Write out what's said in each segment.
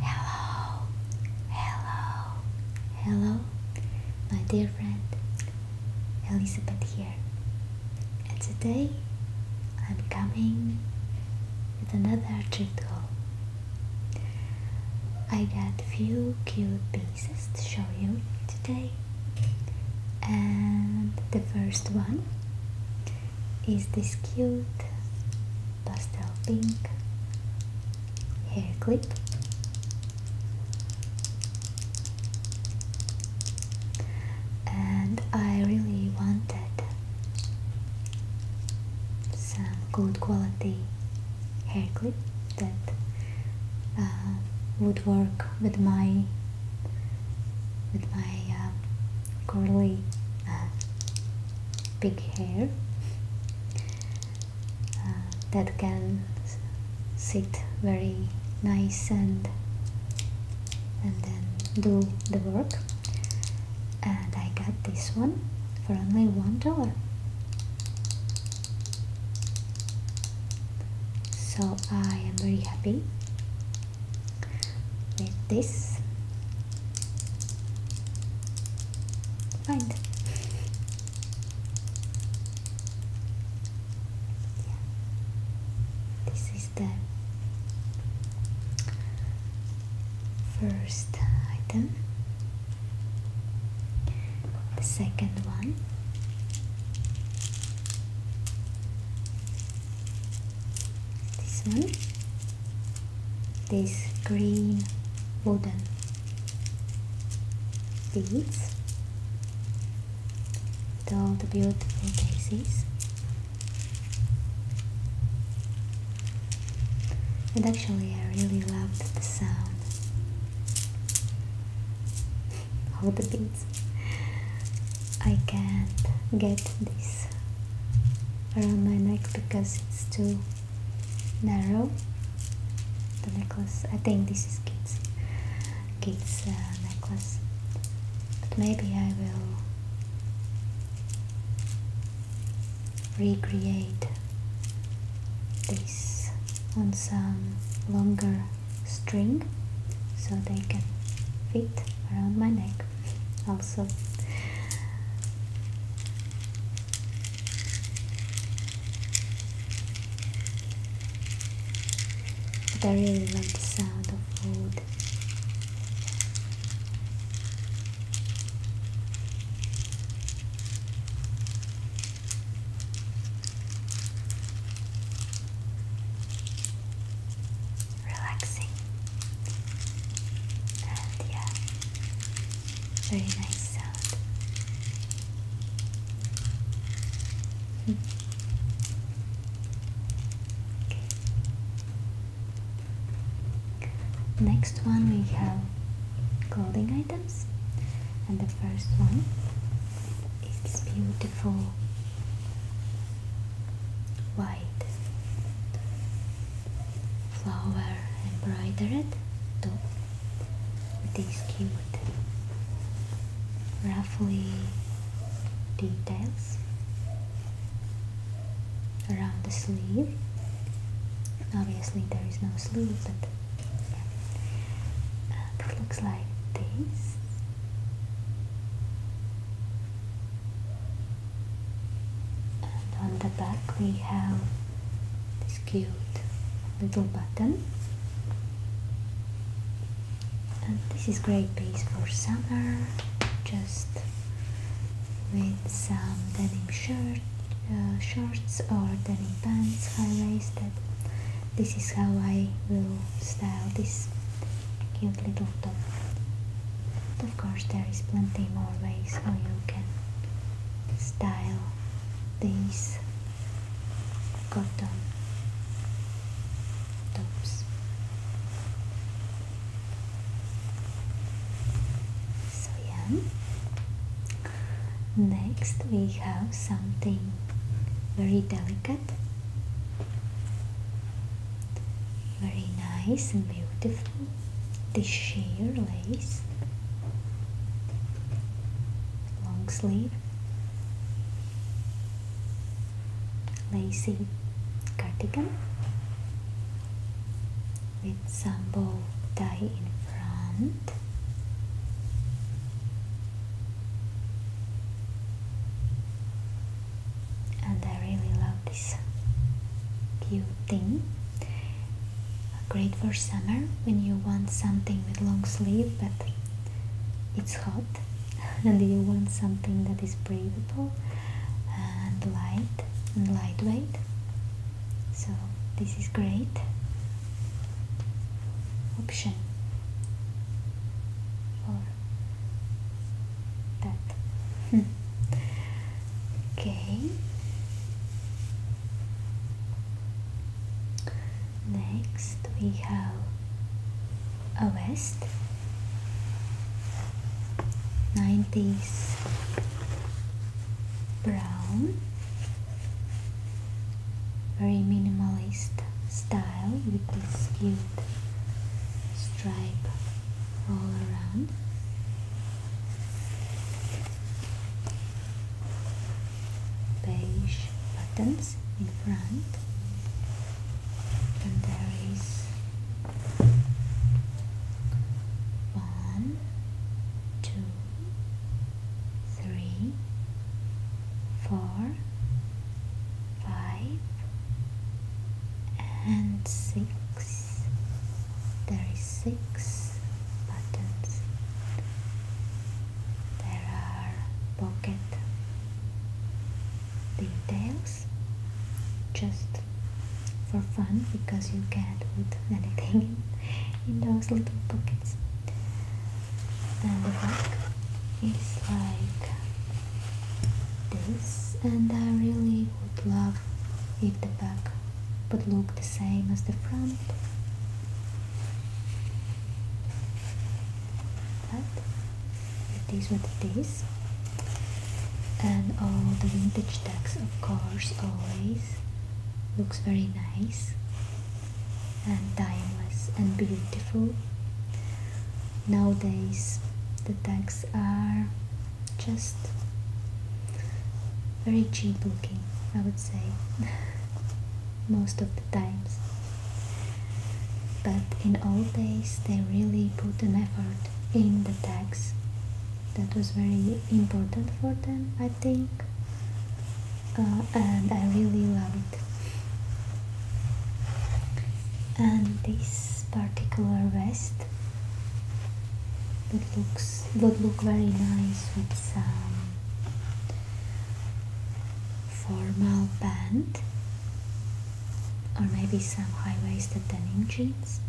Hello, hello, hello, my dear friend Elizabeth here, and today I'm coming with another treat I got few cute pieces to show you today, and the first one is this cute pastel pink hair clip and I really wanted some good quality hair clip that uh, would work with my with my um, uh, curly big hair uh, that can sit very nice and and then do the work and I got this one for only one dollar so I am very happy with this find yeah. this is the first item the second one this one these green wooden beads with all the beautiful daisies and actually I really loved the sound of the beads I can't get this around my neck because it's too narrow the necklace I think this is Kate's, Kate's uh, necklace but maybe I will recreate this on some longer string so they can fit around my neck also but I really like the sound of wood relaxing. And yeah, very nice sound. Next one we have clothing items and the first one is this beautiful white flower embroidered top with these cute roughly details around the sleeve obviously there is no sleeve but uh, it looks like this and on the back we have this cute little button and this is great piece for summer just with some denim shirt uh, shorts or denim pants high-waisted this is how I will style this cute little top. But of course there is plenty more ways how you can style these cotton tops. So yeah. Next we have something very delicate very nice and beautiful the sheer lace long sleeve lacy cardigan with some bow tie in front and I really love this cute thing great for summer when you want something with long sleeve but it's hot and you want something that is breathable and light and lightweight so this is great option for that okay next we have a vest 90s brown very minimalist style with this few stripe all around. Beige buttons in front, and there is one, two, three, four, five and six there is six buttons there are pocket details just for fun because you can't put anything in those little pockets and the back is like this and I really would love if the back would look the same as the front but these what it is and all the vintage tags of course always looks very nice and timeless and beautiful nowadays the tags are just very cheap looking I would say most of the times but in old days they really put an effort in the tags that was very important for them I think uh, and I really love it and this particular vest would look very nice with some formal band or maybe some high-waisted denim jeans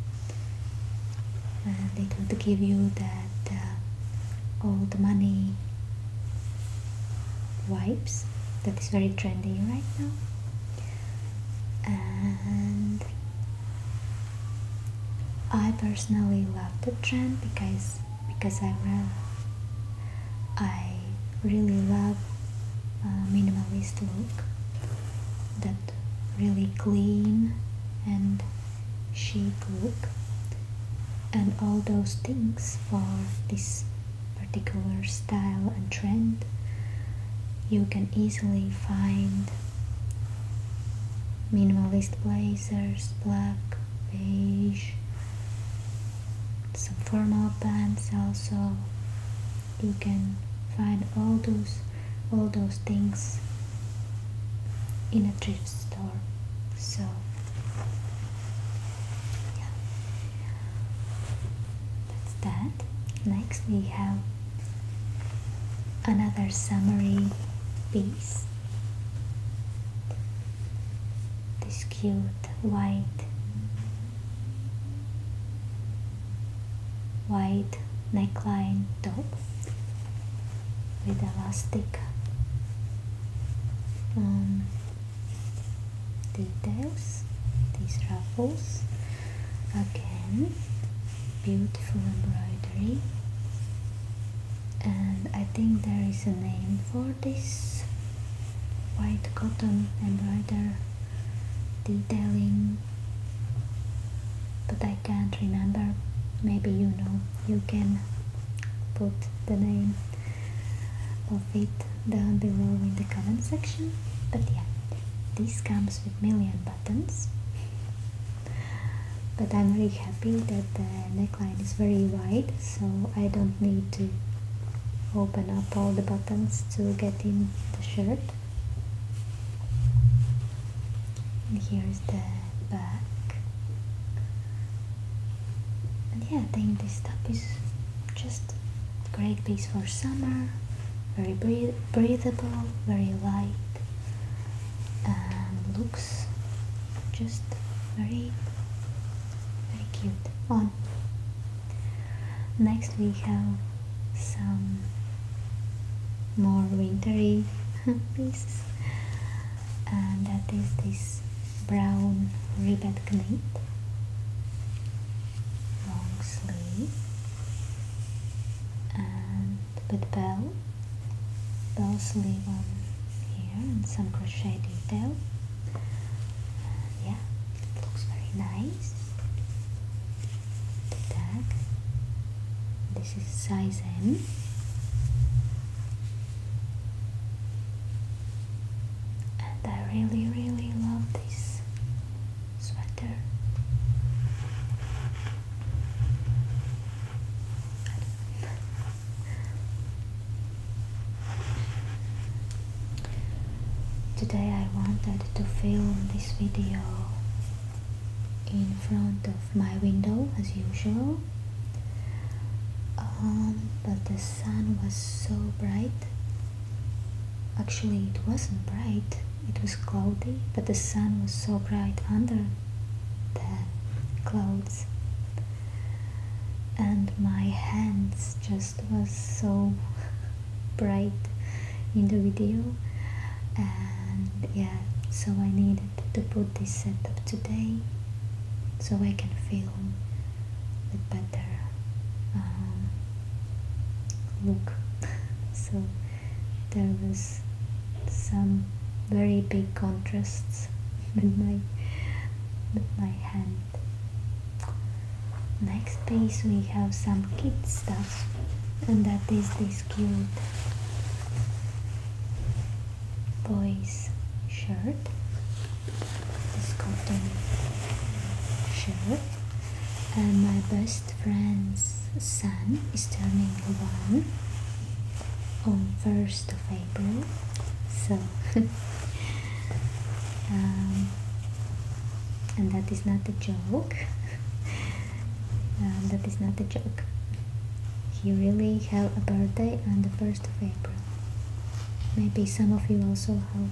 and it would give you that uh, old money wipes that is very trendy right now and I personally love the trend because because I really, I really love minimalist look that really clean and chic look and all those things for this particular style and trend you can easily find minimalist blazers black beige some formal pants also you can find all those all those things in a thrift store so that's that. Next we have another summary piece. This cute white white neckline top with elastic um, details these ruffles again beautiful embroidery and I think there is a name for this white cotton embroidery detailing but I can't remember maybe you know you can put the name of it down below in the comment section but yeah this comes with million buttons but I'm really happy that the neckline is very wide so I don't need to open up all the buttons to get in the shirt and here's the back yeah I think this top is just Great piece for summer, very breathable, very light, and looks just very, very cute. On. Next we have some more wintry pieces, and that is this brown ribbed knit long sleeve and with bell bell sleeve on here and some crochet detail yeah looks very nice the tag this is size M and I really really love this sweater. Today I wanted to film this video in front of my window as usual um, but the sun was so bright Actually, it wasn't bright, it was cloudy, but the sun was so bright under the clouds. And my hands just was so bright in the video. And yeah, so I needed to put this setup today so I can film it better. Um, look so there was some very big contrasts with my with my hand next page we have some kid stuff and that is this cute boy's shirt this cotton shirt and my best friend's son is turning one on 1st of April so um, and that is not a joke um, that is not a joke he really had a birthday on the 1st 1st of April. Maybe some of you also have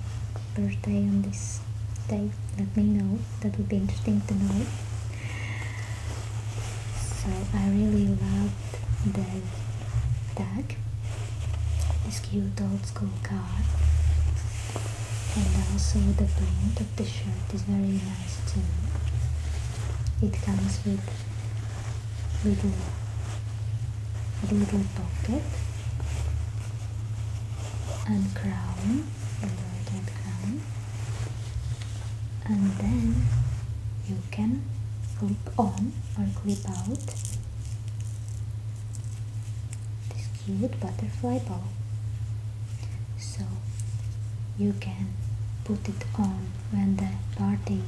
birthday on this day. Let me know. That would be interesting to know. So I really love the duck. this cute old school card, and also the print of the shirt is very nice too. It comes with Little middle pocket and crown, embroidered crown and then you can clip on or clip out this cute butterfly bow so you can put it on when the party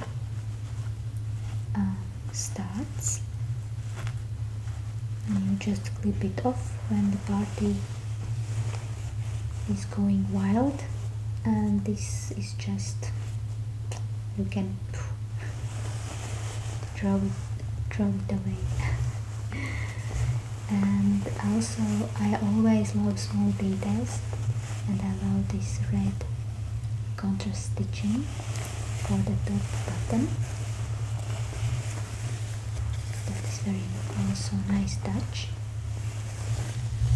starts and you just clip it off when the party is going wild and this is just you can throw it, throw it away and also I always love small details and I love this red contrast stitching for the top button that is very also nice touch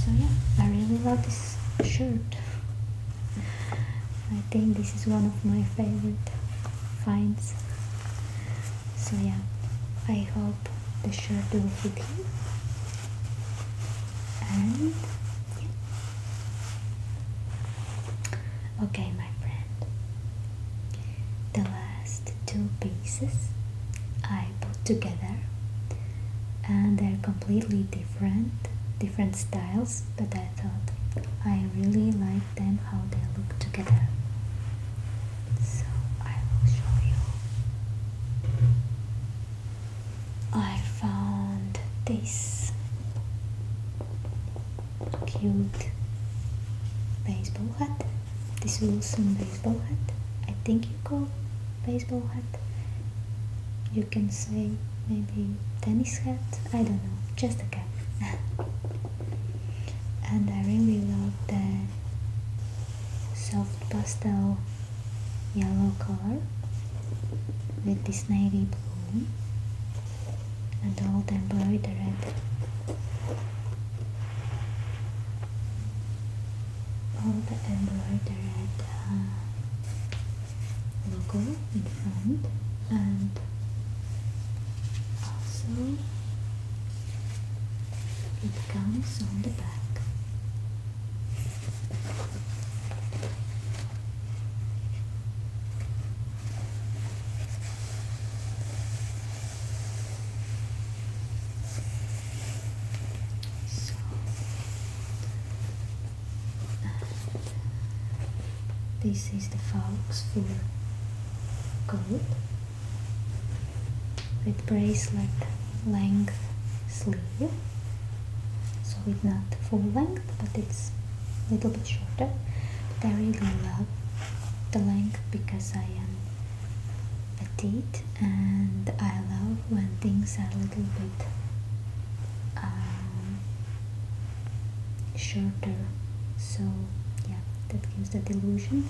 so yeah I really love this shirt I think this is one of my favorite finds so yeah I hope the shirt will fit you and Okay, my friend, the last two pieces I put together and they're completely different, different styles, but I thought I really like them how they look together. So I will show you. I found this cute baseball hat. This Wilson baseball hat. I think you call baseball hat. You can say maybe tennis hat. I don't know. Just a cap. and I really love the soft pastel yellow color with this navy blue and all the embroidered all the embroidered uh, logo in front and also it comes on the back so, this is the fox for coat with bracelet length sleeve so it's not full length but it's a little bit shorter but I really love the length because I am petite and I love when things are a little bit um, shorter so yeah that gives the illusion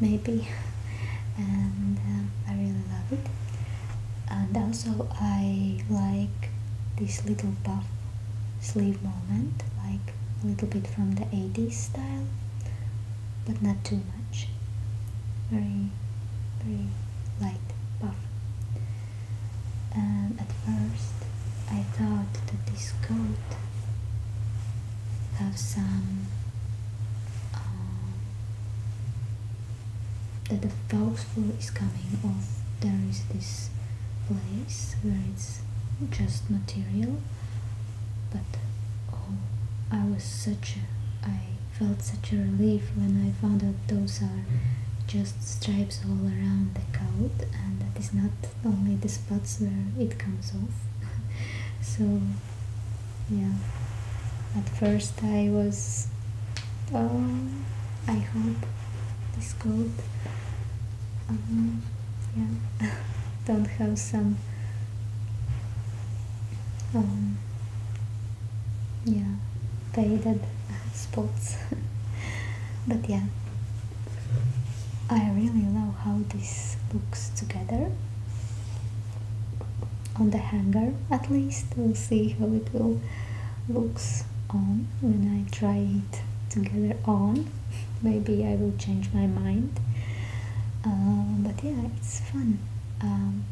maybe and uh, I really love it and also I like this little puff sleeve moment like a little bit from the 80s style but not too much very very light puff and at first I thought that this coat have some um, that the fur is coming off. there is this place where it's just material but oh I was such a, I felt such a relief when I found out those are just stripes all around the coat and that is not only the spots where it comes off so yeah at first I was um, I hope this coat. Um, yeah don't have some um, yeah faded spots but yeah I really love how this looks together on the hanger at least we'll see how it will looks on when I try it together on maybe I will change my mind uh, but yeah it's fun um,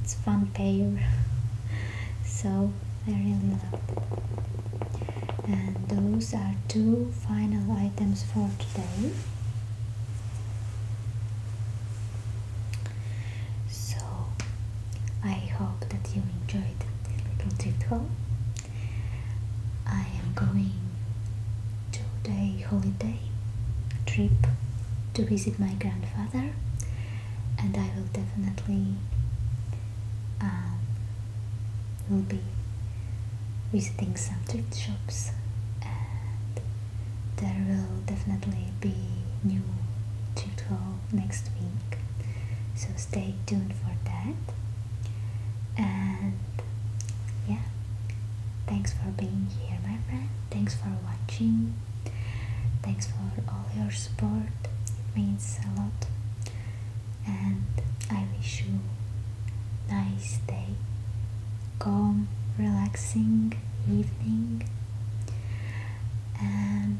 it's fun pair so I really love it and those are two final items for today so I hope that you enjoyed this little tip. I am going to the holiday trip to visit my grandfather and I will definitely um, will be visiting some thrift shops there will definitely be new tutorial next week so stay tuned for that and yeah thanks for being here my friend thanks for watching thanks for all your support it means a lot and i wish you nice day calm, relaxing evening and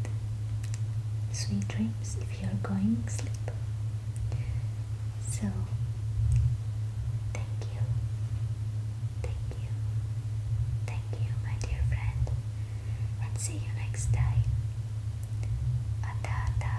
sweet dreams if you're going to sleep. So, thank you, thank you, thank you, my dear friend, and see you next time. Adada,